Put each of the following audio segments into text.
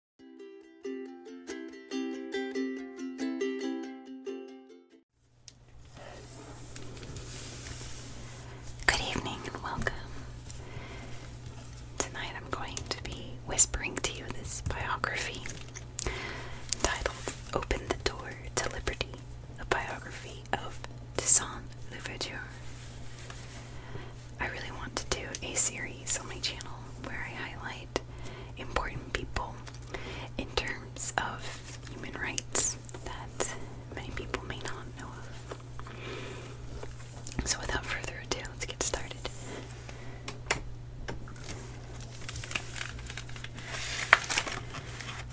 Good evening and welcome. Tonight I'm going to be whispering to you this biography titled Open the Door to Liberty, a biography of Toussaint Louverture. I really want to do a series on my channel where I highlight important people in terms of human rights that many people may not know of. So, without further ado, let's get started.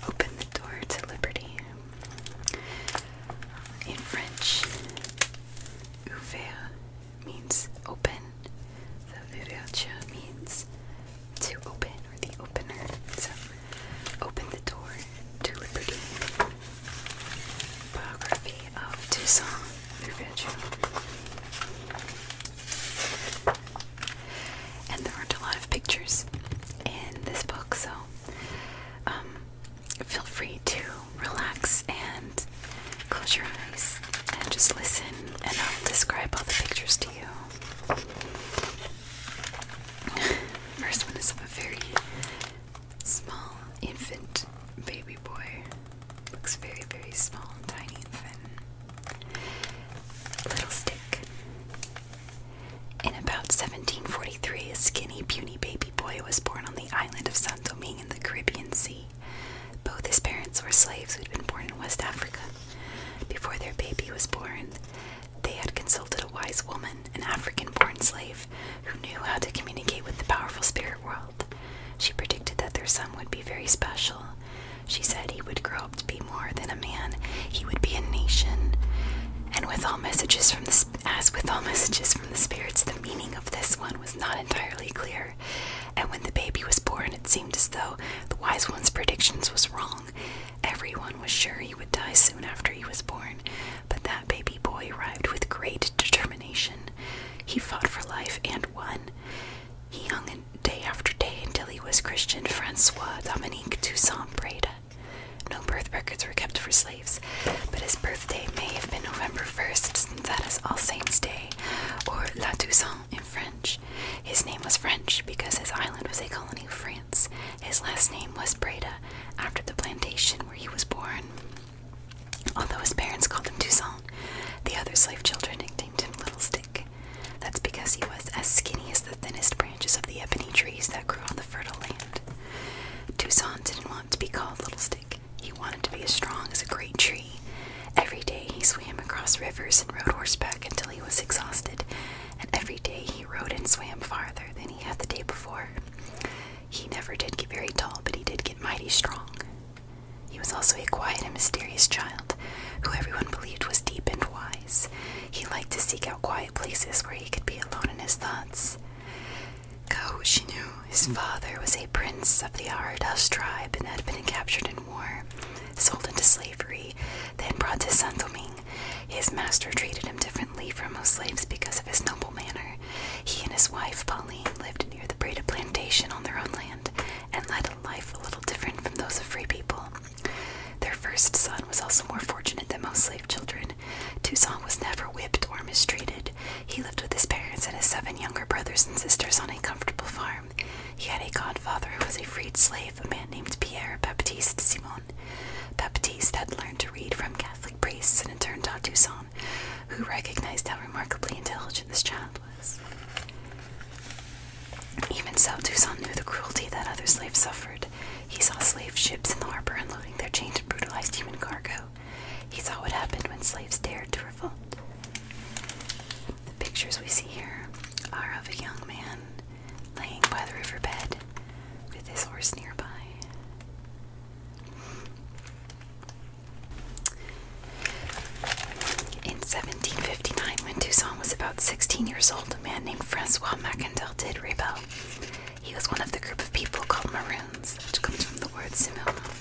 Open the door to liberty. In French, ouvert means open. The vivacha means to open or the opener. So open the door to liberty. Biography of Toussaint Vivacha. And there aren't a lot of pictures in this book, so um, feel free to relax and close your eyes and just listen, and I'll describe all the pictures to you. First one is of a very small infant baby boy. Looks very, very small, tiny infant. Little stick. In about 1743, a skinny, puny baby boy was born on the island of San Domingue in the Caribbean Sea. Both his parents were slaves who'd been born in West Africa. Before their baby was born, they had consulted a wise woman, an African born slave, who knew how to communicate with the powerful spirit world. She predicted that their son would be very special. She said he would grow up to be more than a man, he would be a nation. And with all messages from the as with all messages from the spirits, the meaning of this one was not entirely clear. And when the baby was born, it seemed as though the wise one's predictions was wrong. Everyone was sure he would die soon after he was born, but that baby boy arrived with great determination. He fought for life and won. He hung day after day until he was Christian Francois Dominique Toussaint Breda. No birth records were kept for slaves, but his birthday may have been November 1st, that is All Saints' Day, or La Toussaint in French. His name was French because his island was a colony of France. His last name was Breda, after the plantation where he was born. Although his parents called him Toussaint, the other slave children nicknamed him Little Stick. That's because he was as skinny as the thinnest branches of the ebony trees that grew on the fertile land. Toussaint didn't want to be called Little Stick. He wanted to be as strong as a great tree. Every day he swam across rivers and rode horseback until he was exhausted, and every day he rode and swam farther than he had the day before. He never did get very tall, but he did get mighty strong. He was also a quiet and mysterious child, who everyone believed was deep and wise. He liked to seek out quiet places where he could be alone in his thoughts. Ko Shinu, his father, was a prince of the Aradas tribe and had been captured in war, sold into slavery, then brought to Saint Domingue. His master treated him differently from most slaves because of his noble manner. He and his wife, Pauline, lived near the Breda plantation on their own land and led a life a little different from those of free people. Their first son was also more fortunate than most slave children. Toussaint was never whipped or mistreated, he lived with his parents and his seven younger brothers and sisters on a comfortable farm. He had a godfather who was a freed slave, a man named Pierre Baptiste Simon. Baptiste had learned to read from Catholic priests and in turn taught Toussaint, who recognized how remarkably intelligent this child was. Even so, Toussaint knew the cruelty that other slaves suffered. He saw slave ships in the harbor unloading their chained and brutalized human cargo, he saw what happened when slaves dared to revolt. The pictures we see here are of a young man laying by the riverbed with his horse nearby. In 1759, when Toussaint was about 16 years old, a man named Francois Macandel did rebel. He was one of the group of people called Maroons, which comes from the word Simum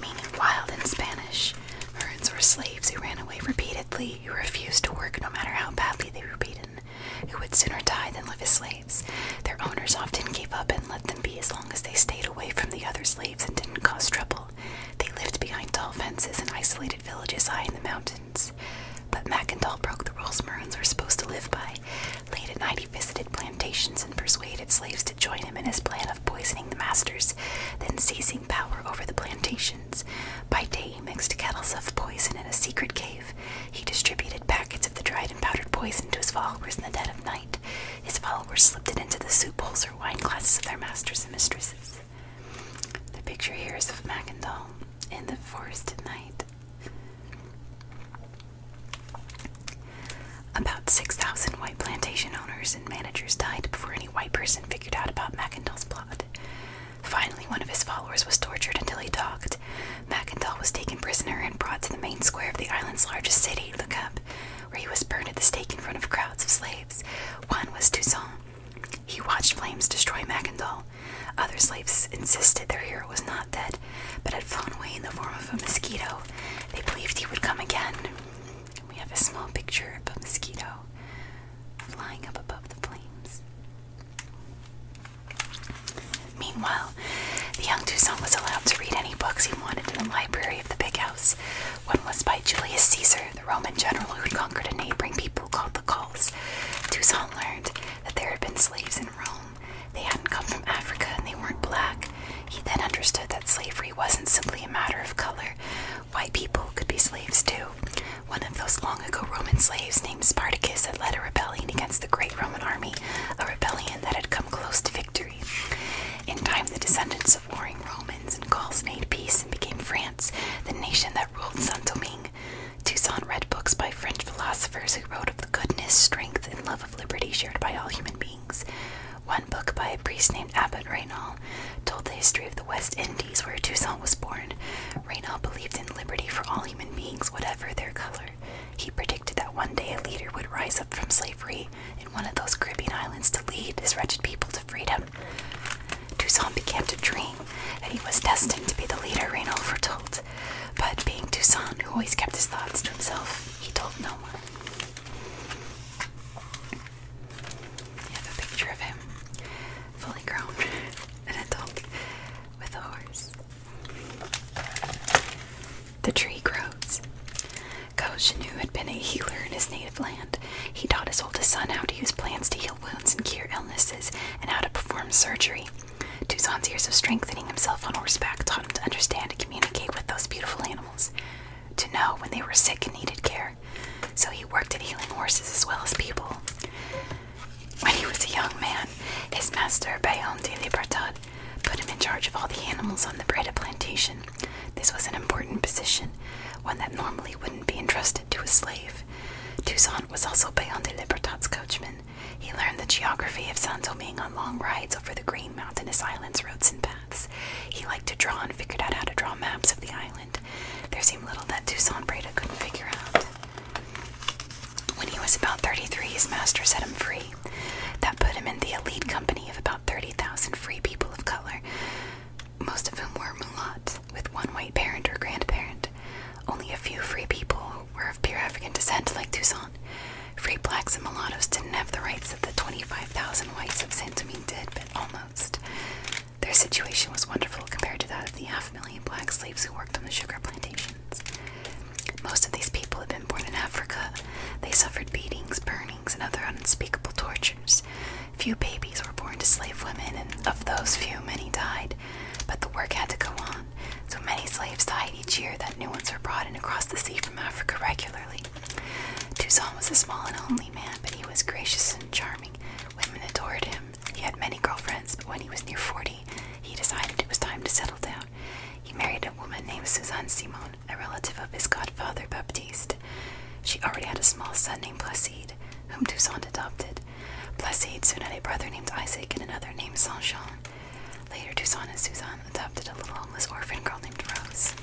meaning wild in Spanish. Merns were slaves who ran away repeatedly, who refused to work no matter how badly they were beaten, who would sooner die than live as slaves. Their owners often gave up and let them be as long as they stayed away from the other slaves and didn't cause trouble. They lived behind tall fences in isolated villages high in the mountains. But Mackendall broke the rules Maroons were supposed to live by. Late at night, he visited plantations and persuaded slaves to join him in his plan of poisoning the masters, then seizing power over the plantations. By day, he mixed kettles of poison in a secret cave. He distributed packets of the dried and powdered poison to his followers in the dead of night. His followers slipped it into the soup bowls or wine glasses of their masters and mistresses. The picture here is of Mackendall in the forest at night. About 6,000 white plantation owners and managers died before any white person figured out about Mackindall's plot. Finally, one of his followers was tortured until he talked. Mackindall was taken prisoner and brought to the main square of the island's largest city, Lookup, where he was burned at the stake in front of crowds of slaves. One was Toussaint. He watched flames destroy Mackindall. Other slaves insisted their hero was not dead, but had flown away in the form of a mosquito, they believed he would come again. We have a small picture of a mosquito flying up above the flames. Meanwhile, the young Toussaint was allowed to read any books he wanted in the library of the big house. One was by Julius Caesar, the Roman general who had conquered a neighboring people called the Gauls. Toussaint learned that there had been slaves in Rome they hadn't come from Africa and they weren't black. He then understood that slavery wasn't simply a matter of color. White people could be slaves too. One of those long ago Roman slaves named Spartacus had led a rebellion against the great Roman army, a rebellion that had come close to victory. In time, the descendants of warring Romans and Gauls made peace and became France, the nation that ruled Saint Domingue. Toussaint read books by French philosophers who wrote of the goodness, strength, and love of liberty shared by all human beings. One book by a priest named Abbot Raynal told the history of the West Indies where Toussaint was born. Raynal believed in liberty for all human beings, whatever their color. He predicted that one day a leader would rise up from slavery in one of those Caribbean islands to lead his wretched people to freedom. Toussaint began to dream that he was destined to be the leader Raynal foretold. But being Toussaint, who always kept his thoughts to himself, he told no one. You have a picture of him, fully grown, an adult with a horse. The tree grows. Koshinu had been a healer in his native land. He taught his oldest son how to use plants to heal wounds and cure illnesses, and how to perform surgery. Tuzan's years of strengthening himself on horseback taught him to understand to communicate with those beautiful animals to know when they were sick and needed care. So he worked at healing horses as well as people. When he was a young man, his master, Bayon de Libertad, put him in charge of all the animals on the Breda plantation. This was an important position, one that normally wouldn't be entrusted to a slave. Toussaint was also Bayon de Libertad's coachman. He learned the geography of Santo Domingue on long rides over the green mountainous islands, roads, and paths. He liked to draw and figured out how to draw maps of the island. There seemed little that Toussaint Breda couldn't figure out. When he was about 33, his master set him free. That put him in the elite company of about 30,000 free people of color, most of whom were mulattoes, with one white parent or grandparent. Only a few free people were of pure African descent, like Toussaint. Free blacks and mulattoes didn't have the rights that the 25,000 whites of Santomine did, but almost. Their situation was wonderful compared to that of the half million black slaves who worked on the sugar plantations. Most of these people had been born in Africa. They suffered beatings, burnings, and other unspeakable tortures. Few babies were born to slave women, and of those few, many died. But the work had to go on, so many slaves died each year that new ones were brought in across the sea from Africa regularly. Toussaint was a small and lonely man, but he was gracious and charming. Women adored him. He had many girlfriends, but when he was near 40, he decided it was time to settle down. He married a woman named Suzanne Simon, a relative of his godfather Baptiste. She already had a small son named Placide, whom Toussaint adopted. Placide soon had a brother named Isaac and another named Saint Jean. Later, Toussaint and Suzanne adopted a little homeless orphan girl named Rose.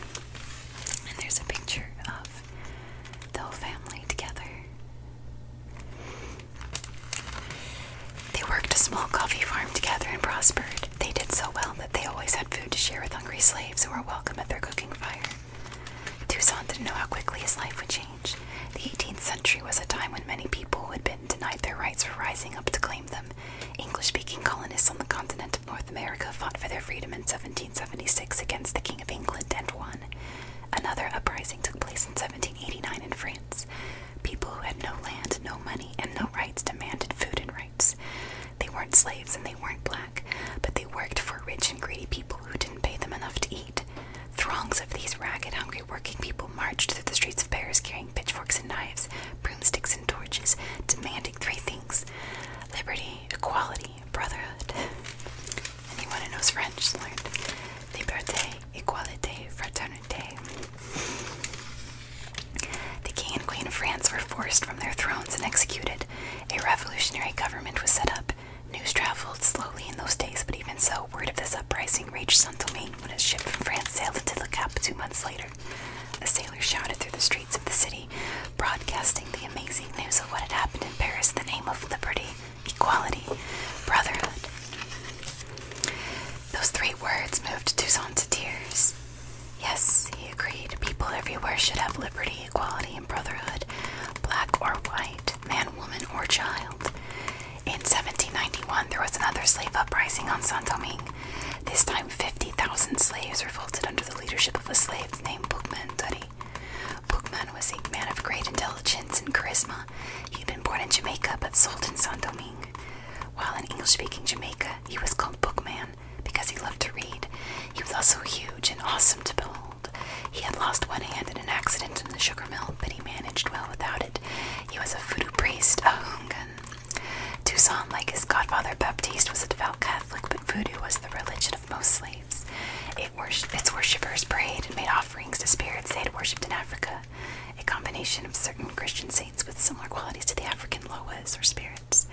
And there's a picture of the whole family together. They worked a small coffee farm together and prospered. They did so well that they always had food to share with hungry slaves who were welcome at their cooking fire. Toussaint didn't know how quickly his life would change. The 18th century was a time when many people who had been denied their rights for rising up to claim them. English speaking colonists on the continent of North America fought for their freedom in 1776 against the King of England and won. Another uprising took place in 1789 in France. People who had no land, no money, and no rights demanded food and rights. They weren't slaves and they weren't black, but they worked for rich and greedy people who didn't pay them enough to eat. Throngs of these ragged, hungry working people marched through the streets of Paris carrying pitchforks and knives, broomsticks and torches, demanding three things liberty, equality, brotherhood. Anyone who knows French learned liberté, equality, fraternité. The king and queen of France were forced from their thrones and executed. A revolutionary government was set up. News traveled slowly in those days, but even so, word of this uprising reached Saint Domingue when a ship from France sailed into the cap two months later later, a sailor shouted through the streets of the city, broadcasting the amazing news of what had happened in Paris the name of liberty, equality, brotherhood. Those three words moved Toussaint to tears. Yes, he agreed, people everywhere should have liberty, equality, and brotherhood, black or white, man, woman, or child. In 1791, there was another slave uprising on Saint Domingue. This time, 50,000 slaves revolted under the leadership of a slave named Bookman Duddy. Bookman was a man of great intelligence and charisma. He had been born in Jamaica but sold in Saint Domingo. While in English speaking Jamaica, he was called Bookman because he loved to read. He was also huge and awesome to behold. He had lost one hand in an accident in the sugar mill, but he managed well without it. He was a voodoo priest, a hunga, Toussaint, like his godfather Baptiste, was a devout Catholic, but voodoo was the religion of most slaves. It worship, its worshippers prayed and made offerings to spirits they had worshipped in Africa, a combination of certain Christian saints with similar qualities to the African loas or spirits.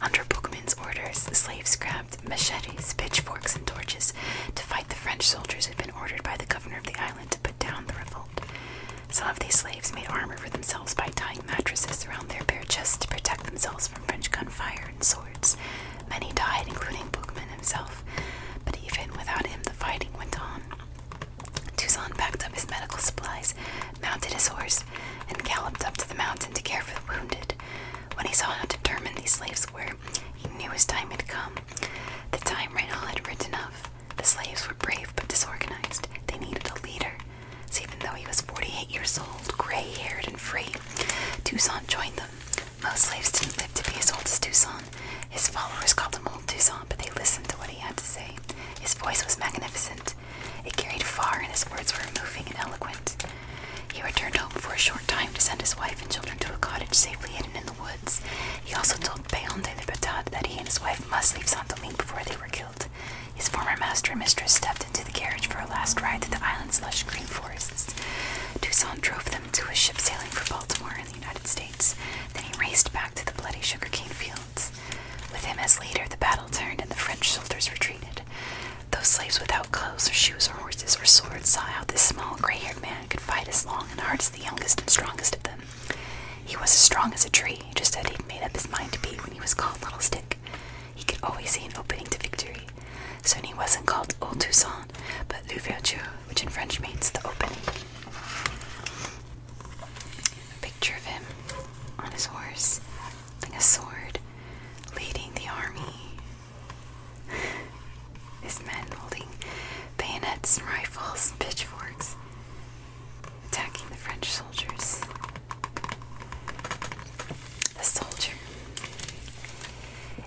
Under Bookman's orders, the slaves grabbed machetes, pitchforks, and torches to fight the French soldiers who had been ordered by the governor of the island to put down the revolt. Some of these slaves made armor for themselves by tying mattresses around their bare chests to protect themselves from French gunfire and swords. Many died, including Bookman himself, but even without him, the fighting went on. Toussaint packed up his medical supplies, mounted his horse, and galloped up to the mountain to care for the wounded. When he saw how determined these slaves were, he knew his time had come. The time Reynal had written of. The slaves were brave but disorganized. They needed a leader. So even though he was 48 years old, gray-haired and free, Toussaint joined them. Most slaves didn't live to be as old as Toussaint. His followers called him Old Toussaint, but they listened to what he had to say. His voice was magnificent. It carried far, and his words were moving and eloquent. He returned home for a short time to send his wife and children to a cottage safely hidden in the woods. He also told told Bayon de that he and his wife must leave Santoline before they were killed. His former master and mistress stepped into the carriage for a last ride through the island's lush green forests. Toussaint drove them to a ship sailing for Baltimore in the United States. Then he raced back to the bloody sugarcane fields. With him as leader, the battle turned and the French soldiers retreated. Those slaves without clothes or shoes or horses or swords saw how this small, gray haired man could fight as long and hard as the youngest and strongest of them. He was as strong as a tree, just as he'd made up his mind to be when he was called Little Stick. He could always see an opening to victory. So he wasn't called Old Toussaint, but L'Ouverture, which in French means the opening. picture of him on his horse, holding a sword, leading the army. His men holding bayonets and rifles and pitchforks attacking the French soldiers. The soldier.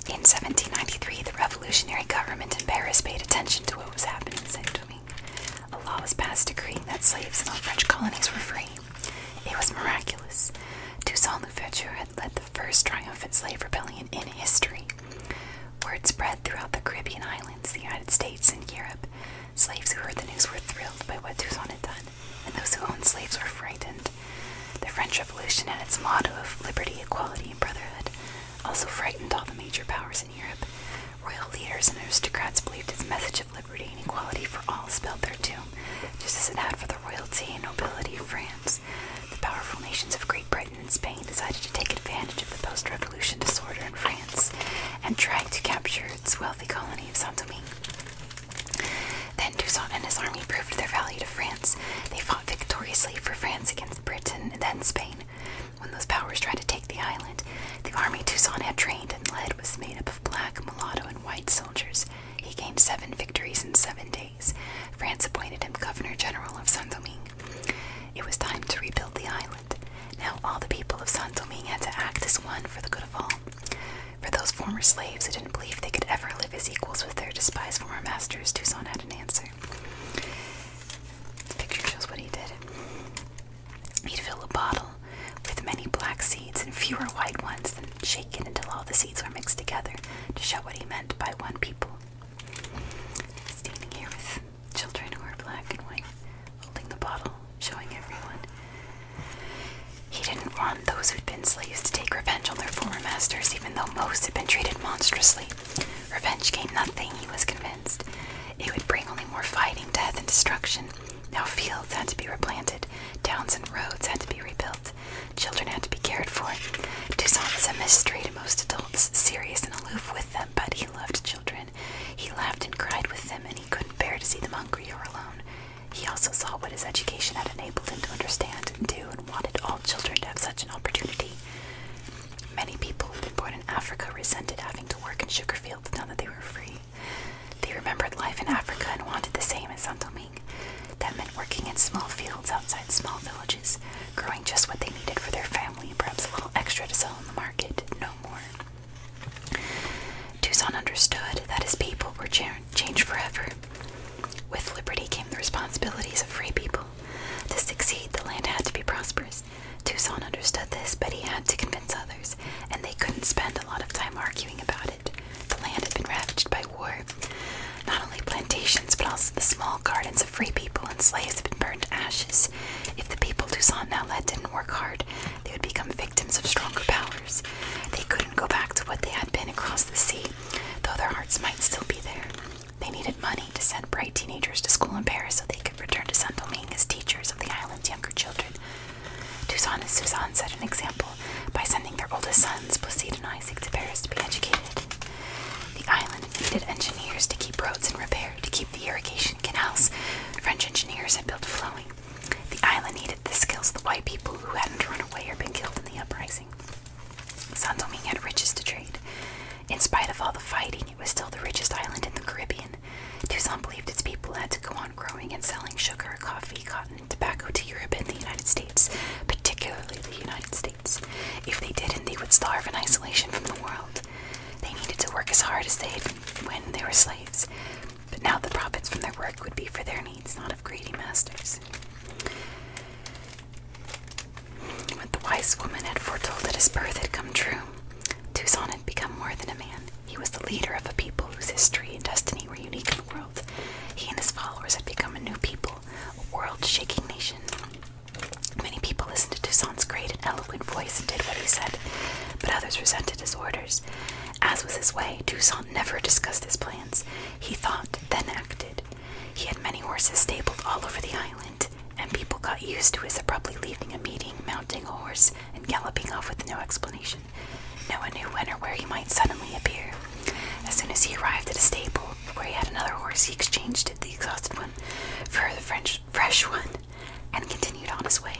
In 1793, the revolutionary government in Paris paid attention to what was happening in Saint Domingue. A law was passed decreeing that slaves in all French colonies were free. It was miraculous. Toussaint Louverture had led the first triumphant slave rebellion in history. Word spread throughout the Caribbean islands, the United States, and Europe Slaves who heard the news were thrilled by what Toussaint had done, and those who owned slaves were frightened. The French Revolution and its motto of liberty, equality, and brotherhood also frightened all the major powers in Europe. Royal leaders and aristocrats believed its message of liberty and equality for all spelled their doom, just as it had for the royalty and nobility of France. The powerful nations of Great Britain and Spain decided to take advantage of the post disorder in France and tried to capture its wealthy colony of Saint Domingue. Then Toussaint and his army proved their value to France. They fought victoriously for France against Britain and then Spain. When those powers tried to take the island, the army Toussaint had trained and led was made up of black, mulatto, and white soldiers. He gained seven victories in seven days. France appointed him governor general of Saint Domingue. It was time to rebuild the island. Now all the people of San Domingue had to act as one for the good of all. For those former slaves who didn't believe they could ever live as equals with their despised former masters, Toussaint had an answer. The picture shows what he did. He'd fill a bottle with many black seeds and fewer white ones, then shake it until all the seeds were mixed together to show what he meant by one people. Standing here with Children who are black and white, holding the bottle, showing everyone. He didn't want those who'd been slaves to take revenge on their former masters, even though most had been treated monstrously. Revenge gained nothing, he was convinced. It would bring only more fighting, death, and destruction. Now fields had to be replanted, towns and roads had to be rebuilt, children had to be cared for. Toussaint was a mystery to most adults, serious and aloof with them, but he loved children. He laughed and cried with them, and he couldn't bear to see them hungry or alone. He also saw what his education had enabled him to understand and do, and wanted all children to have such an opportunity. Many people who'd been born in Africa resented having to work in sugar fields now that they were free. They remembered life in Africa and wanted the same in Saint Domingue. That meant working in small fields outside small villages, growing just what they needed for their family, perhaps a little extra to sell on the market, no more. Toussaint understood that his people were changed forever. With liberty came the responsibilities of free people. To succeed, the land had to be prosperous. Toussaint understood this, but he had to convince others, and they couldn't spend a lot of time arguing about it. The land had been ravaged by war. Not only plantations, but also the small gardens of free people and slaves had been burned to ashes. If the people Toussaint now led didn't work hard, they would become victims of stronger powers. They couldn't go back to what they had been across the sea, though their hearts might still be there. They needed money to send bright teenagers to school in Paris so they could return to Saint Domingue as teachers of the island's younger children. Toussaint and Suzanne set an example by sending their oldest sons, Placide and Isaac, to Paris to be educated. The island needed engineers to keep roads in repair to keep the irrigation canals French engineers had built flowing. The island needed the skills of the white people who hadn't run away or been killed in the uprising. San Domingue had riches to trade. In spite of all the fighting, it was still the richest island in the Caribbean. Tucson believed its people had to go on growing and selling sugar, coffee, cotton, tobacco to Europe and the United States, particularly the United States. If they didn't, they would starve in isolation from the world. They needed to work as hard as they had when they were slaves, but now the profits from their work would be for their needs, not of greedy masters. What the wise woman had foretold at his birth had come true. Toussaint had become more than a man. He was the leader of a people whose history and destiny were unique in the world. He and his followers had become a new people, a world shaking nation. Many people listened to Toussaint's great and eloquent voice and did what he said, but others resented his orders. As was his way, Toussaint never discussed his plans. He thought, then acted. He had many horses stabled all over the island, and people got used to his abruptly leaving a meeting, mounting a horse, and galloping off with no explanation. No one knew when or where he might suddenly appear. As soon as he arrived at a stable where he had another horse, he exchanged the exhausted one, for the French fresh one and continued on his way.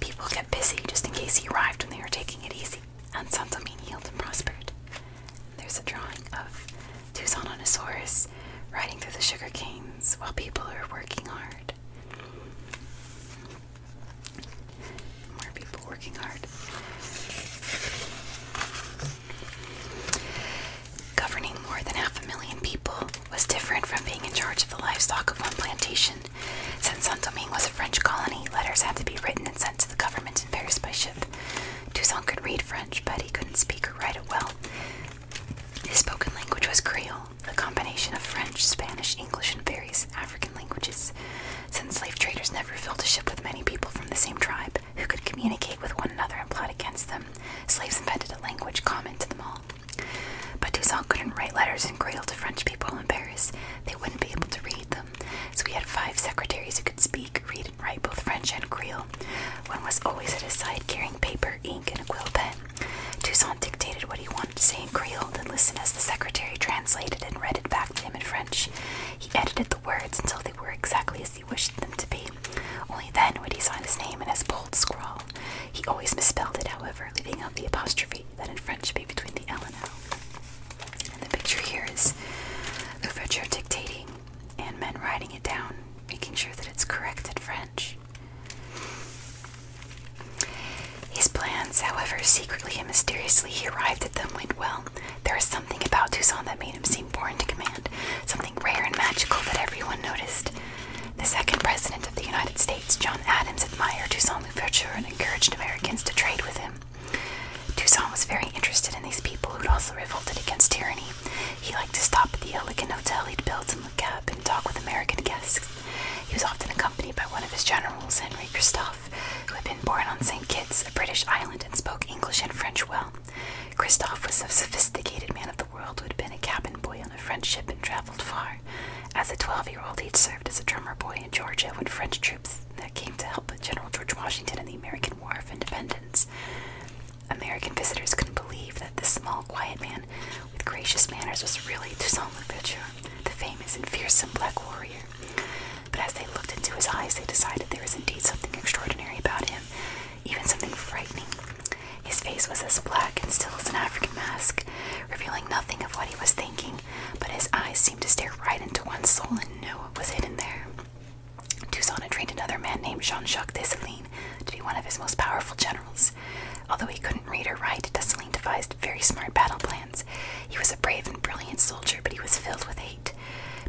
People kept busy just in case he arrived when they were taking it easy, and Santomin healed and prospered. There's a drawing of Tucson on his horse riding through the sugar canes while people are working hard. More people working hard. Governing more than half a million people was different from being in charge of the livestock of one plantation. Since Saint Domingue was a French colony, letters had to be written and sent to the government in Paris by ship. Toussaint could read French, but he couldn't speak or write it well. His spoken language was Creole, a combination of French, Spanish, English, and various African languages. Since slave traders never filled a ship with many people from the same tribe who could communicate with one another and plot against them, slaves invented a language common to them all. But Toussaint couldn't write letters in Creole to French people in Paris. They wouldn't be able to read them. So he had five secretaries who could speak, read, and write both French and Creole. One was always at his side carrying paper, ink, and a quill pen. Toussaint dictated what he wanted to say in Creole, then listened as the secretary translated and read it back to him in French. He edited the words until they were exactly as he wished them to be. Only then would he sign his name in his bold scrawl. He always misspelled it, however, leaving out the apostrophe that in French be between the L and L. And the picture here is Louverture dictating and men writing it down, making sure that it's correct in French. His plans, however, secretly and mysteriously he arrived at them went well. There was something about Toussaint that made him seem born to command, something rare and magical that everyone noticed. The second president of the United States, John Adams, admired Toussaint Louverture and encouraged Americans to trade with him. Toussaint was very interested in these people who'd also revolted against tyranny. He liked to stop at the elegant hotel he'd built and look up and talk with American guests. He was often accompanied by one of his generals, Henri Christophe, who had been born on St. Kitts, a British island, and spoke English and French well. Christophe was a sophisticated man of the world who had been a cabin boy on a French ship and traveled far. As a 12 year old, he'd served as a drummer boy in Georgia when French troops that came to help General George Washington in the American War of Independence. American visitors couldn't believe that this small, quiet man with gracious manners was really Toussaint Louverture, the famous and fearsome black warrior. But as they looked into his eyes, they decided there was indeed something extraordinary about him, even something frightening. His face was as black and still as an African mask, revealing nothing of what he was thinking, but his eyes seemed to stare right into one's soul and knew what was hidden there. Toussaint had trained another man named Jean-Jacques Dessalines to be one of his most powerful generals. Although he couldn't read or write, Dessalines devised very smart battle plans. He was a brave and brilliant soldier, but he was filled with hate.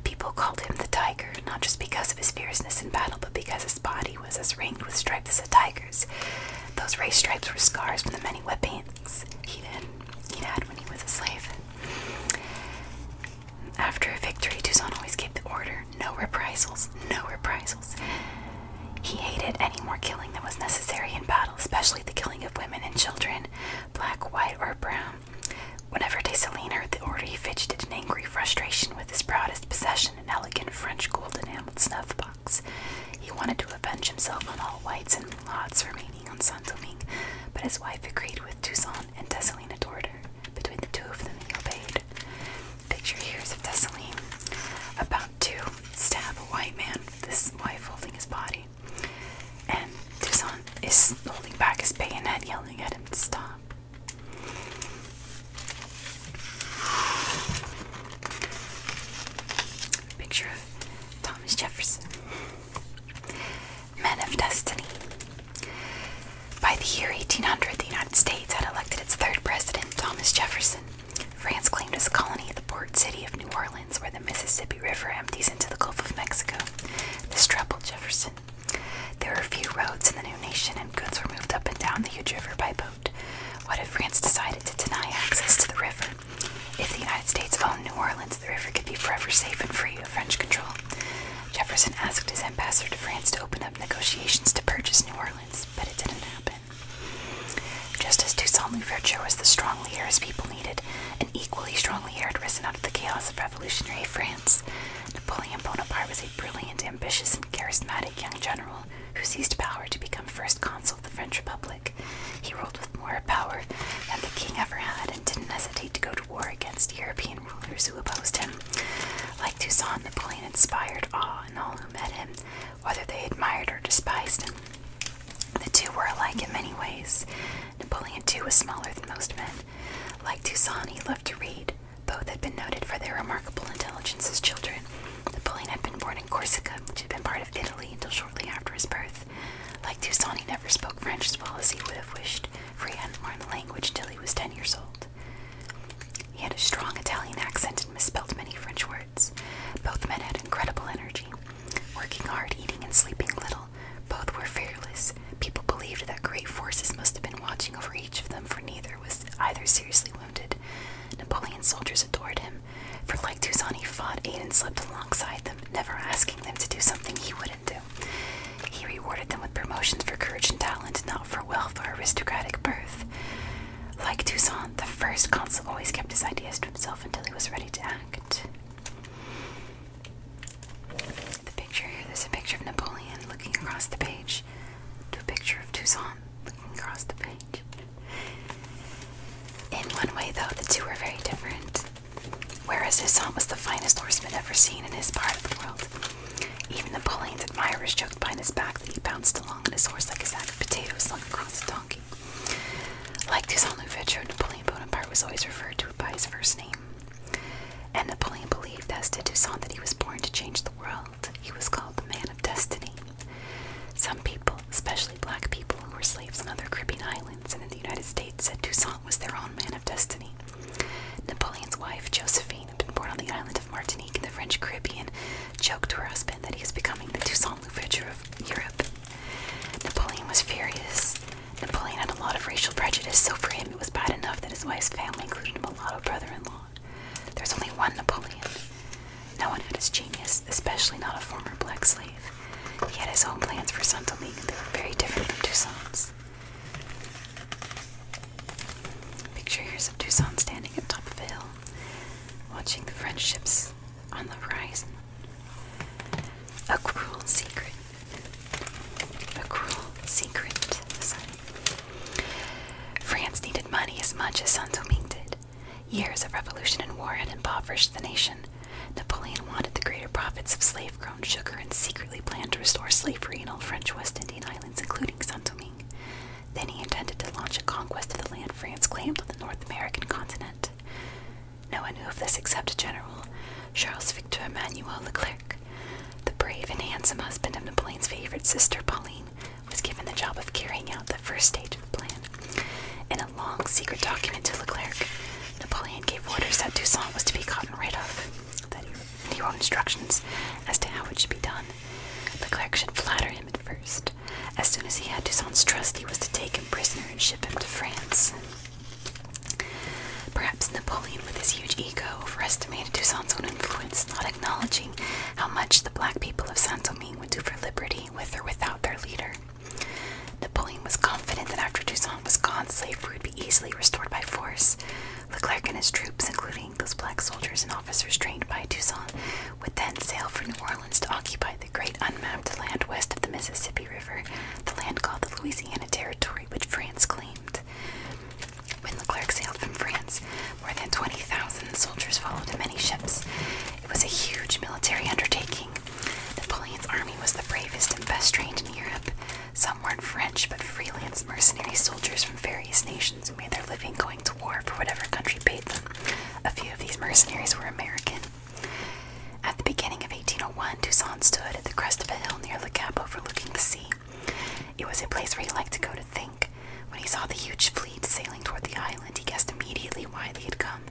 People called him the tiger, not just because of his fierceness in battle, but because his body was as ringed with stripes as a tiger's. Those race stripes were scars from the many whippings he'd, he'd had when he was a slave. After a victory, Toussaint always gave the order no reprisals, no reprisals. He hated any more killing than was necessary in battle, especially the killing of women and children, black, white, or brown. Whenever Dessalines heard the order, he fidgeted in angry frustration with his proudest possession an elegant French gold enameled snuff box. He wanted to avenge himself on all whites and lots remaining on Saint Domingue, but his wife agreed with Toussaint, and Dessalines adored her. Between the two of them, he obeyed. Picture here is of Dessalines about to stab a white man, this wife holding his body. And Toussaint is holding back his bayonet, yelling at him to stop. Picture of Thomas Jefferson. Men of Destiny. By the year 1800, the United States had elected its third president, Thomas Jefferson. France claimed as a colony the port city of New Orleans, where the Mississippi River empties into the Gulf of Mexico. This troubled Jefferson. There were few roads in the new nation, and goods were moved up and down the huge river by boat. What if France decided to deny access to the river? If the United States owned New Orleans, the river could be forever safe and free of French control. Jefferson asked his ambassador to France to open up negotiations to purchase New Orleans, but it didn't happen. Just as Toussaint Louverture was the strong leader his people needed, an equally strong leader had risen out of the chaos of revolutionary France. Napoleon Bonaparte was a brilliant ambitious and charismatic young general who seized power to become first consul of the French Republic. He ruled with more power than the king ever had and didn't hesitate to go to war against European rulers who opposed him. Like Toussaint, Napoleon inspired awe in all who met him, whether they admired or despised him. The two were alike in many ways. Napoleon, too, was smaller than most men. Like Toussaint, he loved to read, both had been noted for their remarkable intelligence as children. Napoleon had been born in Corsica, which had been part of Italy until shortly after his birth. Like Toussaint, he never spoke French as well as he would have wished, for he hadn't learned the language till he was ten years old. He had a strong Italian accent and misspelled many French words. Both men had incredible energy. Working hard, eating, and sleeping little, both were fearless. People believed that great forces must have been watching over each of them, for neither was either seriously wounded. Napoleon's soldiers adored him. For like Toussaint, he fought, ate, and slept alongside them, never asking them to do something he wouldn't do. He rewarded them with promotions for courage and talent, not for wealth or aristocratic birth. Like Toussaint, the first consul always kept his ideas to himself until he was ready to act. The picture here, a picture of Napoleon looking across the page to a picture of Tucson looking across the page. In one way, though, the two were very different. Whereas Toussaint was the finest horseman ever seen in his part of the world, even Napoleon's admirers joked behind his back that he bounced along on his horse like a sack of potatoes slung across a donkey. Like Toussaint Louverture, Napoleon Bonaparte was always referred to by his first name. And Napoleon believed, as did Toussaint, that he was born to change the world he was called the man of destiny. Some people, especially black people who were slaves on other Caribbean islands and in the United States, said Toussaint was their own man of destiny. Napoleon's wife, Josephine, had been born on the island of Martinique in the French Caribbean, joked to her husband that he was becoming the Toussaint Louverture of Europe. Napoleon was furious. Napoleon had a lot of racial prejudice, so for him it was bad enough that his wife's family included a mulatto brother in law there's only one Napoleon. No one had his genius, especially not a former black slave. He had his own plans for Saint Domingue, and they were very different from Toussaint's. Picture here's of Toussaint standing at top of a hill, watching the French ships on the horizon. A cruel secret. A cruel secret. France needed money as much as Saint-Domingue did. Years of revolution and war had impoverished the nation. Napoleon wanted the greater profits of slave-grown sugar and secretly planned to restore slavery in all French West Indian islands, including Saint-Domingue. Then he intended to launch a conquest of the land France claimed on the North American continent. No one knew of this except General Charles Victor Emmanuel Leclerc, the brave and handsome husband of Napoleon's favorite sister, Pauline, was given the job of carrying out the first stage of the plan. In a long secret document to Leclerc, Napoleon gave orders that Toussaint was to be gotten rid of, that he wrote instructions as to how it should be done. Leclerc should flatter him at first. As soon as he had Toussaint's trust, he was to take him prisoner and ship him to France. Perhaps Napoleon, with his huge ego, overestimated Toussaint's own influence, not acknowledging how much the black people of Saint Domingue would do for liberty with or without their leader. Napoleon was confident that after Toussaint was gone, slavery would be easily restored by force. Leclerc and his troops, including those black soldiers and officers trained by Toussaint, would then sail for New Orleans to occupy the great unmapped land west of the Mississippi River, the land called the Louisiana Territory, which France claimed. When Leclerc sailed from France, more than 20,000 soldiers followed in many ships. It was a huge military undertaking. Napoleon's army was the bravest and best trained in Europe. Some were French, but freelance mercenary soldiers from various nations who made their living going to war for whatever country paid them. A few of these mercenaries were American. At the beginning of 1801, Toussaint stood at the crest of a hill near Le Cap overlooking the sea. It was a place where he liked to go to think. When he saw the huge fleet sailing toward the island, he guessed immediately why they had come.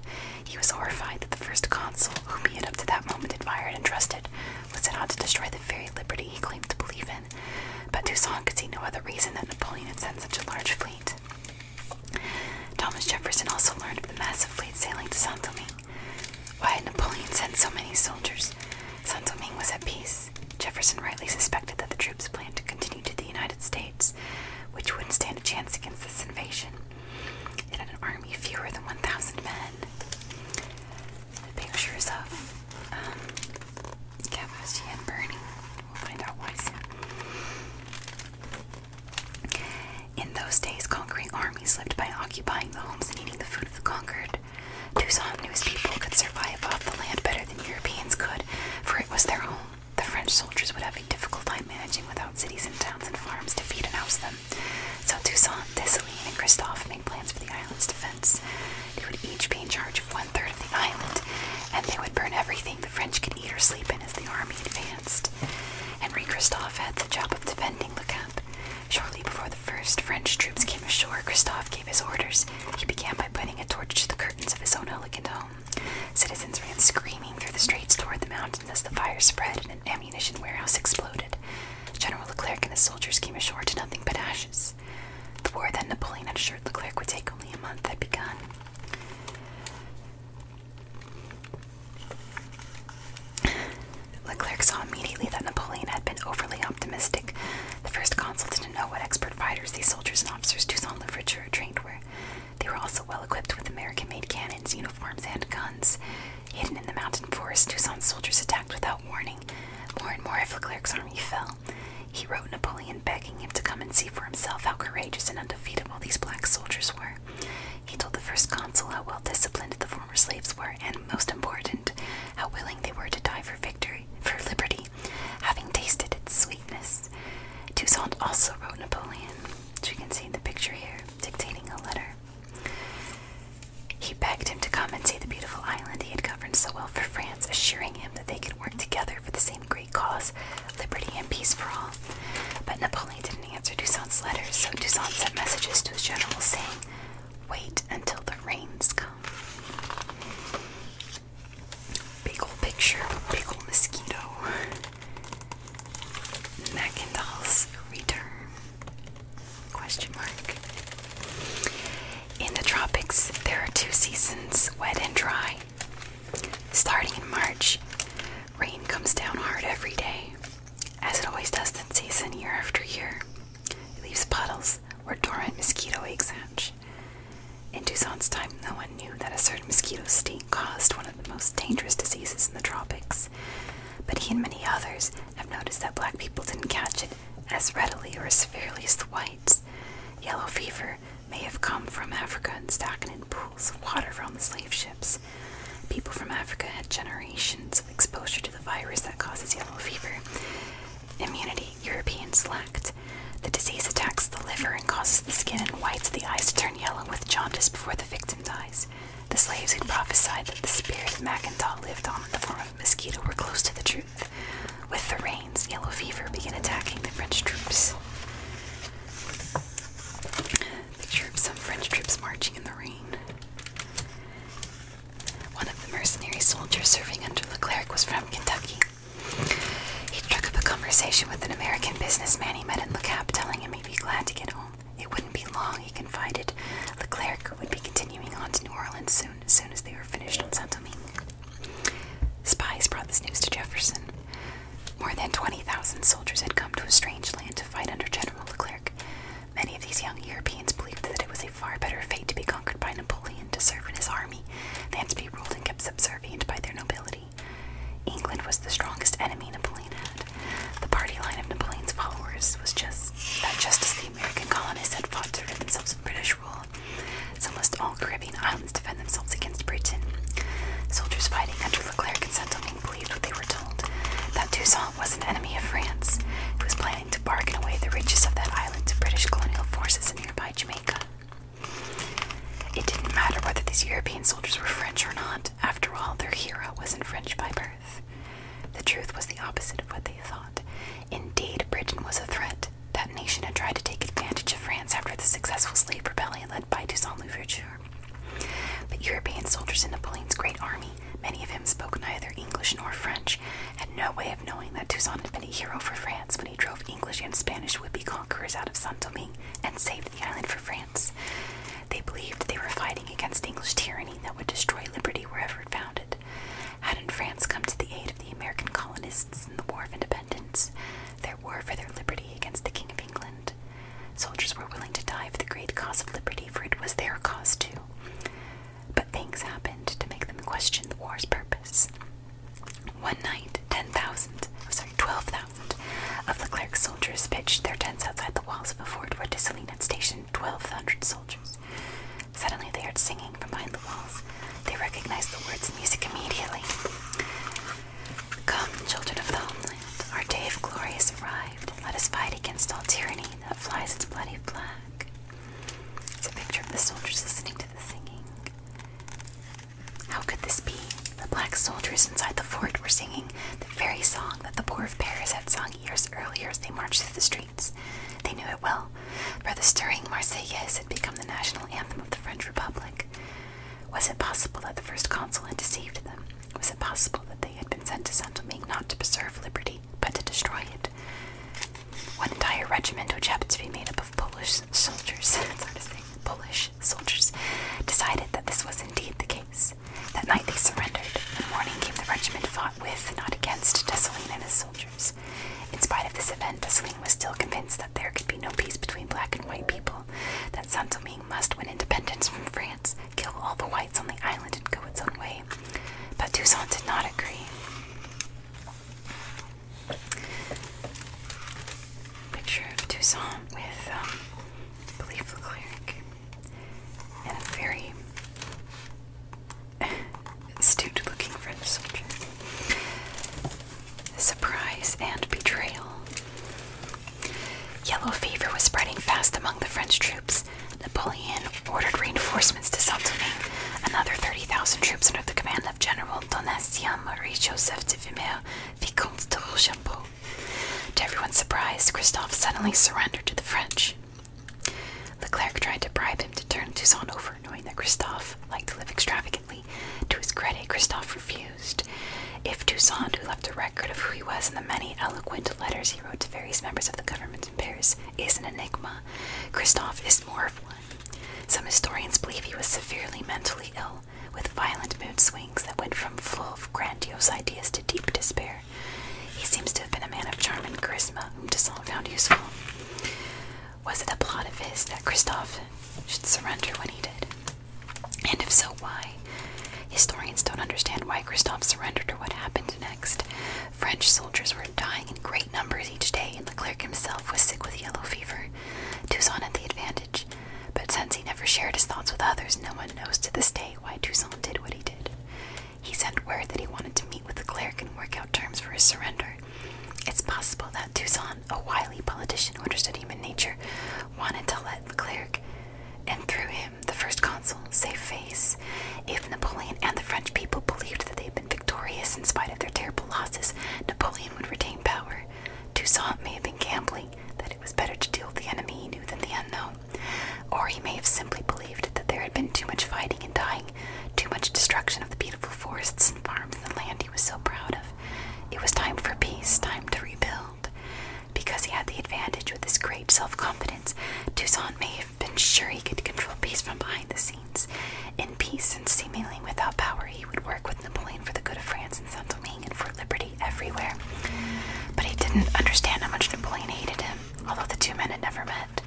He was horrified that the first consul, whom he had up to that moment admired and trusted, was set out to destroy the very liberty he claimed to believe in. But Toussaint could see no other reason that Napoleon had sent such a large fleet. Thomas Jefferson also learned of the massive fleet sailing to Saint Domingue. Why had Napoleon sent so many soldiers? Saint Domingue was at peace. Jefferson rightly suspected that the troops planned to continue to the United States, which wouldn't stand a chance against this invasion. It had an army fewer than 1,000 men. The pictures of um, and Bernie. In those days, conquering armies lived by occupying the homes and eating the food of the conquered. Toussaint knew his people could survive off the land better than Europeans could, for it was their home. The French soldiers would have a difficult time managing without cities and towns and farms to feed and house them. So Toussaint, Dessalines, and Christophe made plans for the island's defense. They would each be in charge of one third of the island, and they would burn everything the French could eat or sleep in as the army advanced. Henri Christophe had the job of defending Le Cap. Shortly before the first French troops came ashore, Christophe gave his orders. He began by putting a torch to the curtains of his own elegant home. Citizens ran screaming through the streets toward the mountains as the fire spread and an ammunition warehouse exploded. General Leclerc and his soldiers came ashore to nothing but ashes. The war that Napoleon had assured Leclerc would take only a month had begun. Leclerc saw immediately that Napoleon had been overly optimistic. The first consul know what expert fighters these soldiers and officers Toussaint Louverture trained were. They were also well equipped with American made cannons, uniforms, and guns. Hidden in the mountain forest, Toussaint's soldiers attacked without warning. More and more of Leclerc's army fell. He wrote Napoleon begging him to come and see for himself how courageous and undefeatable these black soldiers were. He told the first consul how well disciplined the former slaves were, and most important, how willing they were to die for victory, for liberty, having tasted its sweetness. Toussaint also wrote Napoleon, which you can see in the picture here, dictating a letter. He begged him to come and see the beautiful island he had governed so well for France, assuring him that they could work together for the same great cause, liberty and peace for all. But Napoleon didn't answer Toussaint's letters, so Toussaint sent messages to his generals saying, Wait until the rains come. Big ol' picture, big ol' mosquito. Macindoll's return. Question mark. In the tropics, there are two seasons, wet and dry. Starting in March, rain comes down hard every day, as it always does in season year after year. It leaves puddles, nests where dormant mosquito eggs hatch. In Toussaint's time, no one knew that a certain mosquito sting caused one of the most dangerous diseases in the tropics, but he and many others have noticed that black people didn't catch it as readily or as severely as the whites. Yellow fever may have come from Africa and stacking in pools of water from the slave ships. People from Africa had generations of exposure to the virus that causes yellow fever, immunity, Europeans lacked. The disease attacks the liver and causes the skin and whites of the eyes to turn yellow with jaundice before the victim dies. The slaves who prophesied that the spirit of Macintaw lived on in the form of mosquito were close to the truth. With the rains, yellow fever began attacking the French troops. Picture of some French troops marching in the rain. One of the mercenary soldiers serving under Leclerc was from Kentucky. He struck up a conversation with an American businessman he met in Le Cap, telling him he'd be glad to get home. It wouldn't be long, he confided. Leclerc would be continuing on to New Orleans soon, as soon as they were finished on Saint Domingue. Spies brought this news to Jefferson. More than 20,000 soldiers had come to a strange land to fight under General Leclerc. Many of these young Europeans believed that it was far better fate to be conquered by Napoleon to serve in his army than to be ruled and kept subservient by their nobility. England was the strongest enemy Napoleon had. The party line of Napoleon's followers was just that just as the American colonists had fought to rid themselves of British rule, so must all Caribbean islands defend themselves against Britain. Soldiers fighting under Leclerc and Saint-Domingue believed what they were told, that Toussaint was an enemy of France, who was planning to bargain away the riches of that island to British colonial forces in nearby Jamaica. It didn't matter whether these European soldiers were French or not. After all, their hero wasn't French by birth. The truth was the opposite of what they thought. Indeed, Britain was a threat. That nation had tried to take advantage of France after the successful slave rebellion led by Toussaint Louverture. But European soldiers in Napoleon's great army, many of whom spoke neither English nor French, French had no way of knowing that Toussaint had been a hero for France when he drove English and Spanish would be conquerors out of Saint Domingue and saved the island for France. They believed they were fighting against English tyranny that would destroy liberty wherever it found it. Hadn't France come to the aid of the American colonists in the War of Independence, their war for their liberty against the King of England? Soldiers were willing to die for the great cause of liberty, for it was their cause too but things happened to make them question the war's purpose. One night, 10,000, oh sorry, 12,000 of the clerks' soldiers pitched their tents outside the walls of a fort where Dessalines had stationed 1,200 soldiers. Suddenly they heard singing from behind the walls. They recognized the words and music immediately. Come, children of the homeland, our day of glory has arrived. Let us fight against all tyranny that flies its bloody flag. It's a picture of the soldiers listening to the singing. How could this be? The black soldiers inside the fort were singing the very song that the poor of Paris had sung years earlier as they marched through the streets. They knew it well, for the stirring Marseillaise had become the national anthem of the French Republic. Was it possible that the first consul had deceived them? Was it possible that they had been sent to Saint Domingue not to preserve liberty, but to destroy it? One entire regiment, which happened to be made up of Polish soldiers, that's hard to say, Polish soldiers, decided that this was indeed the case. That night they surrendered. In the morning came the regiment fought with, not against, Dessalines and his soldiers. In spite of this event, Dessalines was still convinced that there could be no peace between black and white people, that Saint must win independence from France, kill all the whites on the island, and go its own way. But Toussaint did not agree. Picture of Toussaint with, um, Leclerc and a very astute looking French soldier. Surprise and betrayal. Yellow fever was spreading fast among the French troops, Napoleon ordered reinforcements to saint another 30,000 troops under the command of General Donatien Marie-Joseph de Vimeur, Vicomte de Rochambeau. To everyone's surprise, Christophe suddenly surrendered to the French. Leclerc tried to bribe him to turn Toussaint over, knowing that Christophe liked to live extravagantly. To his credit, Christophe refused. If Toussaint, who left a record of who he was in the many eloquent letters he wrote to various members of the government, Paris is an enigma. Christoph is more of one. Some historians believe he was severely mentally ill, with violent mood swings that went from full of grandiose ideas to deep despair. He seems to have been a man of charm and charisma whom Toussaint found useful. Was it a plot of his that Christoph should surrender when he did? And if so, why? Historians don't understand why Christoph surrendered or what happened next. French soldiers were dying in great numbers each day, and Leclerc himself was sick with yellow fever. Toussaint had the advantage, but since he never shared his thoughts with others, no one knows to this day why Toussaint did what he did. He sent word that he wanted to meet with the cleric and work out terms for his surrender. It's possible that Toussaint, a wily politician who understood human nature, wanted to let the cleric, and through him, the first consul, save face. If Napoleon and the French people believed that they had been victorious in spite of their terrible losses, Napoleon would retain power. Toussaint may have been gambling, that it was better to deal with the enemy he knew than the unknown. Or he may have simply believed that there had been too much fighting and dying, too much destruction of the beautiful forests and farms and the land he was so proud of. It was time for peace, time to rebuild. Because he had the advantage with his great self confidence, Toussaint may have have been sure he could control peace from behind the scenes. In peace and seemingly without power, he would work with Napoleon for the good of France and Saint Domingue and for liberty everywhere. But he didn't understand how much Napoleon hated him, although the two men had never met.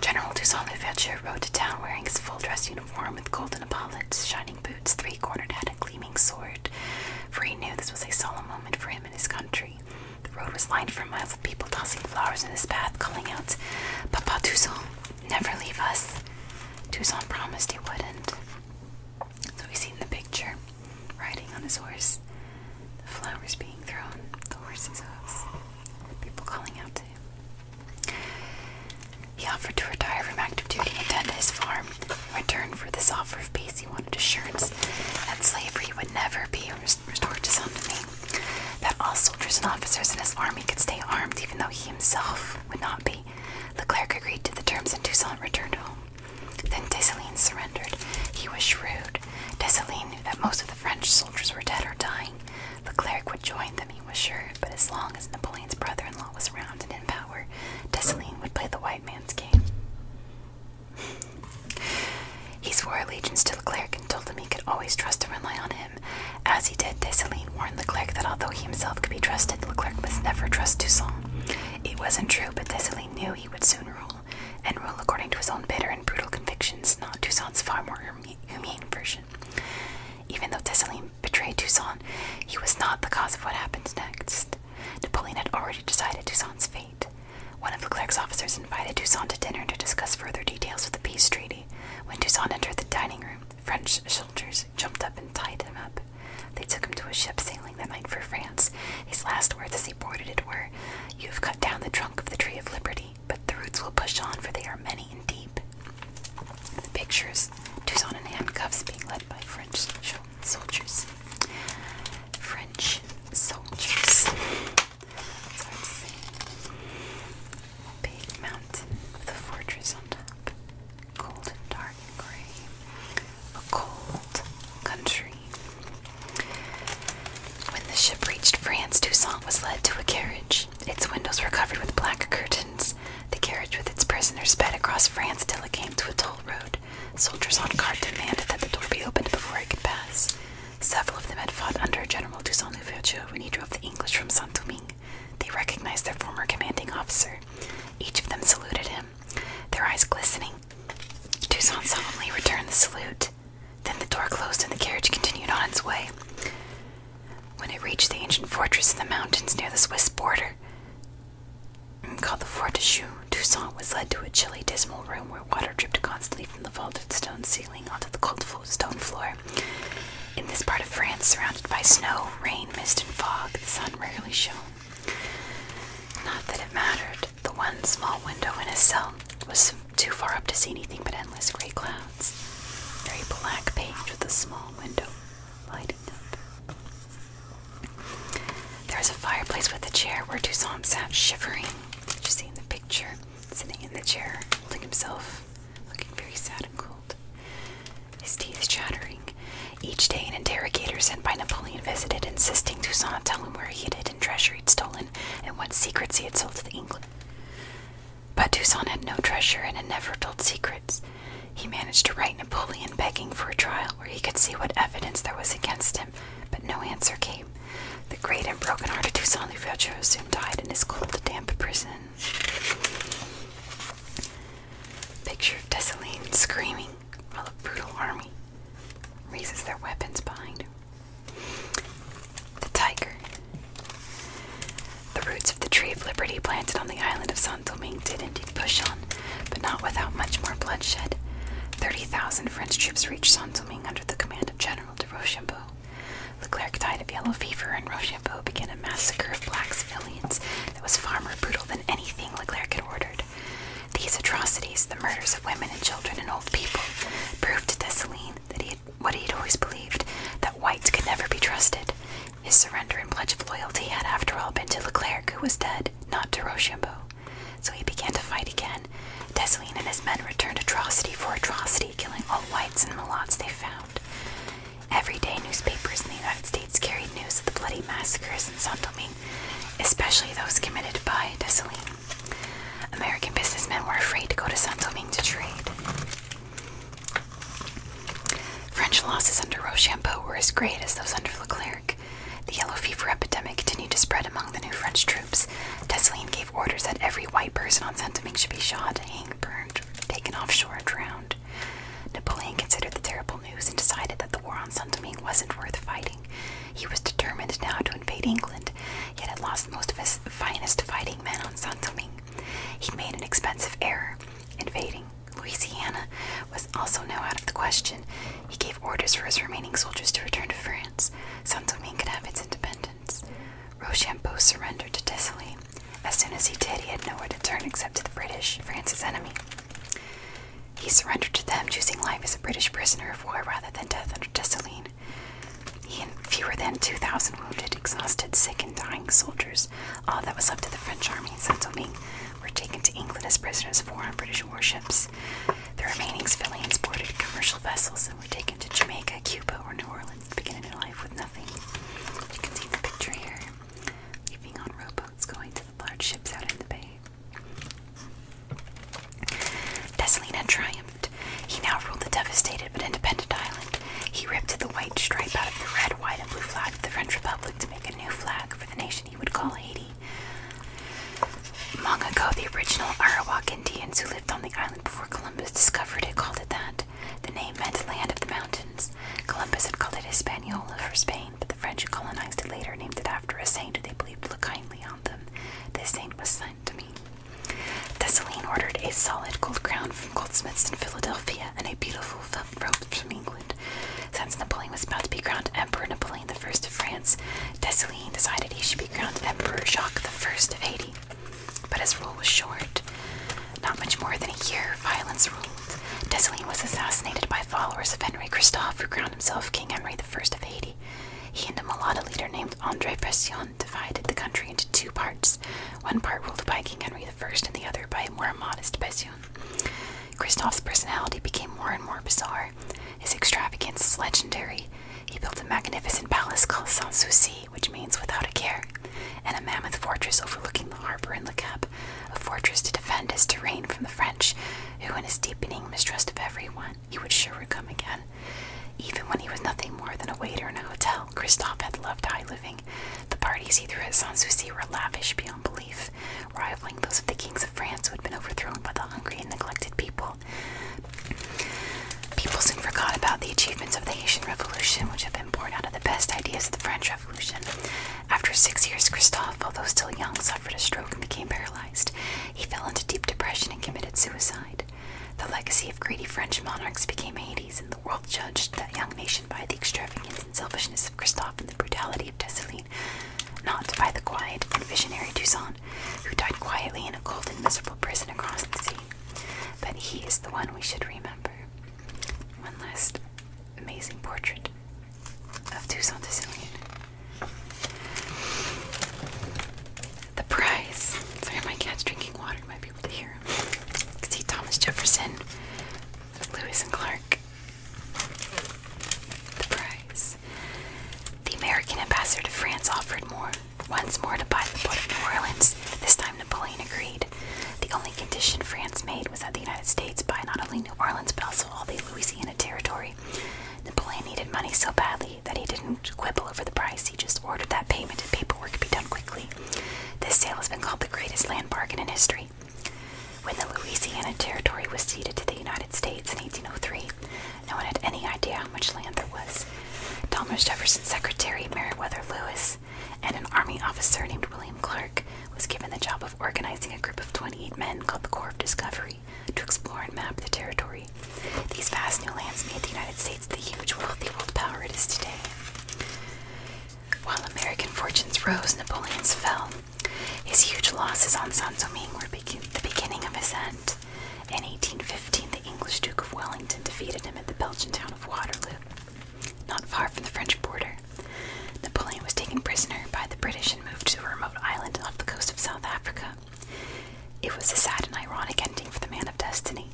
General Toussaint Louverture rode to town wearing his full dress uniform with golden epaulets, shining boots, three cornered hat, and gleaming sword, for he knew this was a solemn moment for him and his country. The road was lined for miles with people tossing flowers in his path, calling out, Papa Toussaint, never leave us. Toussaint promised he wouldn't. So we see in the picture, riding on his horse, the flowers being thrown, the horse's hooves, people calling out to him. He offered to retire from active duty and tend to his farm. In return for this offer of peace, he wanted assurance that slavery would never be restored his own That all soldiers and officers in his army could stay armed, even though he himself would not be. The Leclerc agreed to the terms, and Toussaint returned home. Then Dessalines surrendered. He was shrewd. Dessalines knew that most of the French soldiers were dead or dying. The Leclerc would join them, he was sure, but as long as Napoleon's brother-in-law was around and in power, Dessalines would play the white man's game. He swore allegiance to Leclerc and told him he could always trust and rely on him. As he did, Dessalines warned Leclerc that although he himself could be trusted, Leclerc must never trust Toussaint. It wasn't true, but Dessalines knew he would soon rule, and rule according to his own bitter and brutal convictions, not Toussaint's far more humane version. Even though Dessalines betrayed Toussaint, he was not the cause of what happened next. Napoleon had already decided Toussaint's fate. One of the Leclerc's officers invited Toussaint to dinner to discuss further details of the peace treaty. When Toussaint entered the dining room, French soldiers jumped up and tied him up. They took him to a ship sailing that night for France. His last words as he boarded it were, You have cut down the trunk of the tree of liberty, but the roots will push on, for they are many and deep. The pictures Toussaint in handcuffs being led by French soldiers. French soldiers. It's Big mountain with a fortress on top. Cold dark gray. A cold country. When the ship reached France, Toussaint was led to a carriage. Its windows were covered with black curtains. The carriage with its prisoners sped across France till it came to a toll road. Soldiers on guard demanded that the door be opened before it could pass. Several of them had fought under General Toussaint Louverture when he drove the English from Saint Domingue. They recognized their former commanding officer. Each of them saluted him, their eyes glistening. Toussaint solemnly returned the salute. Then the door closed and the carriage continued on its way. When it reached the ancient fortress in the mountains near the Swiss border, called the Fort de Choux, Toussaint was led to a chilly, dismal room where water dripped constantly from the vaulted stone ceiling ceiling onto the cold stone floor. In this part of France, surrounded by snow, rain, mist, and fog, the sun rarely shone. Not that it mattered. The one small window in his cell was too far up to see anything but endless gray clouds. Very black page with a small window lighted up. There was a fireplace with a chair where Toussaint sat shivering, which you see in the picture sitting in the chair, holding himself, looking very sad and cold, his teeth chattering. Each day, an interrogator sent by Napoleon visited, insisting Toussaint tell him where he had hidden treasure he'd stolen and what secrets he had sold to the English. But Toussaint had no treasure and had never told secrets. He managed to write Napoleon begging for a trial where he could see what evidence there was against him but no answer came. The great and broken-hearted Toussaint Louverture soon died in his cold, damp prison. Picture of Dessalines screaming while a brutal army raises their weapons behind him. The tiger. The roots of the tree of liberty planted on the island of San Domingue did indeed push on, but not without much more bloodshed. Thirty thousand French troops reached San Domingue under the command of General de Rochambeau. Leclerc died of yellow fever, and Rochambeau began a massacre of black civilians that was far more brutal than anything Leclerc had ordered. These atrocities, the murders of women and children and old people, proved to Dessalines that he what he had always believed, that whites could never be trusted. His surrender and pledge of loyalty had after all been to Leclerc, who was dead, not to Rochambeau. So he began to fight again Desalin. and his men returned atrocity for atrocity, killing all whites and mulats they found. Everyday newspapers in the United States carried news of the bloody massacres in Saint Domingue, especially those committed by Dessalines. American businessmen were afraid to go to Saint Domingue to trade. French losses under Rochambeau were as great as those under Leclerc. The yellow fever epidemic continued to spread among the new French troops. Dessalines orders that every white person on Saint-Domingue should be shot, hanged, burned, taken offshore, and drowned. Napoleon considered the terrible news and decided that the war on Saint-Domingue wasn't worth fighting. He was determined now to invade England, yet had lost most of his finest fighting men on Saint-Domingue. He made an expensive error. Invading Louisiana was also now out of the question. He gave orders for his remaining soldiers to return to France. Saint-Domingue could have its independence. Rochambeau surrendered to Desailly. As soon as he did, he had nowhere to turn except to the British, France's enemy. He surrendered to them, choosing life as a British prisoner of war rather than death under Dessalines. He and fewer than 2,000 wounded, exhausted, sick, and dying soldiers, all that was left of the French army in Saint Domingue, were taken to England as prisoners of war on British warships. The remaining civilians boarded commercial vessels and were taken to Jamaica, Cuba, or New Orleans beginning a new life with nothing. You can see the picture here. Leaving on rowboats, going to the large ships out in the bay. Dessalina triumphed. He now ruled the devastated but independent island. He ripped the white stripe out of the red, white, and blue flag of the French Republic to make a new flag for the nation he would call Haiti. Long ago, the original Arawak Indians who lived on the island before Columbus discovered it called it that. The name meant land of the mountains. Columbus had called it Hispaniola for Spain, but the French who colonized it later named it after a saint who they believed looked kindly on them. This saint was Saint to me. Thessaline ordered a solid gold crown from goldsmiths in Philadelphia and a beautiful felt robe from England. Since Napoleon was about to be crowned Emperor Napoleon I of France, Thessaline decided he should he crowned Emperor Jacques I of Haiti, but his rule was short. Not much more than a year, violence ruled. Dessalines was assassinated by followers of Henri Christophe, who crowned himself King Henri I of Haiti. He and a Mulatto leader named Andre Pression divided the country into two parts, one part ruled by King Henri I and the other by a more modest Pression. Christophe's personality became more and more bizarre. His extravagance is legendary. He built a magnificent palace called Sans Souci, which means without a care, and a mammoth fortress overlooking the harbor in Le Cap, a fortress to defend his terrain from the French, who, in his deepening mistrust of everyone, he would sure come again. Even when he was nothing more than a waiter in a hotel, Christophe had loved high living. The parties he threw at Sanssouci were lavish beyond belief, rivaling those of the kings of France who had been overthrown by the hungry and neglected people people. soon forgot about the achievements of the Haitian Revolution, which had been born out of the best ideas of the French Revolution. After six years, Christophe, although still young, suffered a stroke and became paralyzed. He fell into deep depression and committed suicide. The legacy of greedy French monarchs became Hades, and the world judged that young nation by the extravagance and selfishness of Christophe and the brutality of Dessalines, not by the quiet and visionary Toussaint who died quietly in a cold and miserable prison across the sea. But he is the one we should remember. One last amazing portrait of Toussaint Desillian. The prize. Sorry, my cat's drinking water. You might be able to hear him. see Thomas Jefferson, Lewis and Clark. The prize the American ambassador to France offered once more to buy the port of New Orleans. This time Napoleon agreed. The only condition France made was that the United States buy not only New Orleans but also all the Louisiana territory. Napoleon needed money so badly that he didn't quibble over the price, he just ordered that payment and paperwork be done quickly. This sale has been called the greatest land bargain in history. When the Louisiana Territory was ceded to the United States in 1803, no one had any idea how much land there was. Thomas Jefferson's secretary, Meriwether Lewis, and an army officer named William Clark was given the job of organizing a group of 28 men called the Corps of Discovery to explore and map the territory. These vast new lands made the United States the huge, wealthy world power it is today. While American fortunes rose, Napoleon's fell. His huge losses on San Domingue were the beginning of his end. In 1815, the English Duke of Wellington defeated him at the Belgian town of Waterloo, not far from the French border. Napoleon was taken prisoner by the British and moved to a remote island off the coast of South Africa. It was a sad and ironic ending for the man of destiny.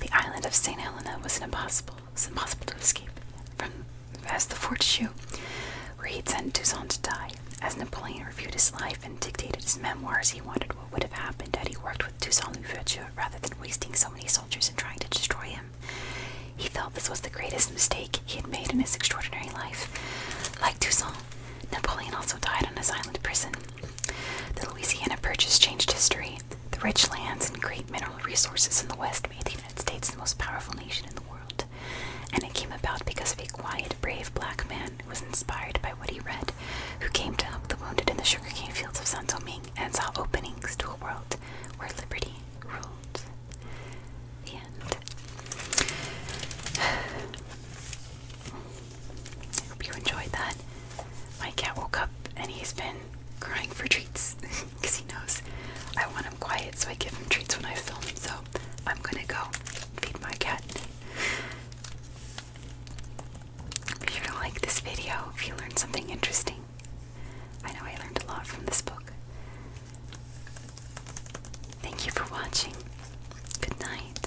The island of St. Helena was an impossible, impossible to escape from as the Fort Shoe, where he'd sent Toussaint to die. As Napoleon reviewed his life and dictated his memoirs, he wondered what would have happened had he worked with Toussaint Louverture rather than wasting so many soldiers in trying to destroy him. He felt this was the greatest mistake he had made in his extraordinary life. Like Toussaint, Napoleon also died on his island prison. The Louisiana Purchase changed history. The rich lands and great mineral resources in the West made the United States the most powerful nation in the world. And it came about because of a quiet, brave black man was inspired by what he read, who came to help the wounded in the sugarcane fields of San Domingue and saw openings to a world where liberty ruled. The end. I hope you enjoyed that. My cat woke up and he's been crying for treats because he knows I want him quiet, so I give him treats when I film. So I'm gonna go feed my cat. If you to like this video if you learned something interesting. I know I learned a lot from this book. Thank you for watching. Good night.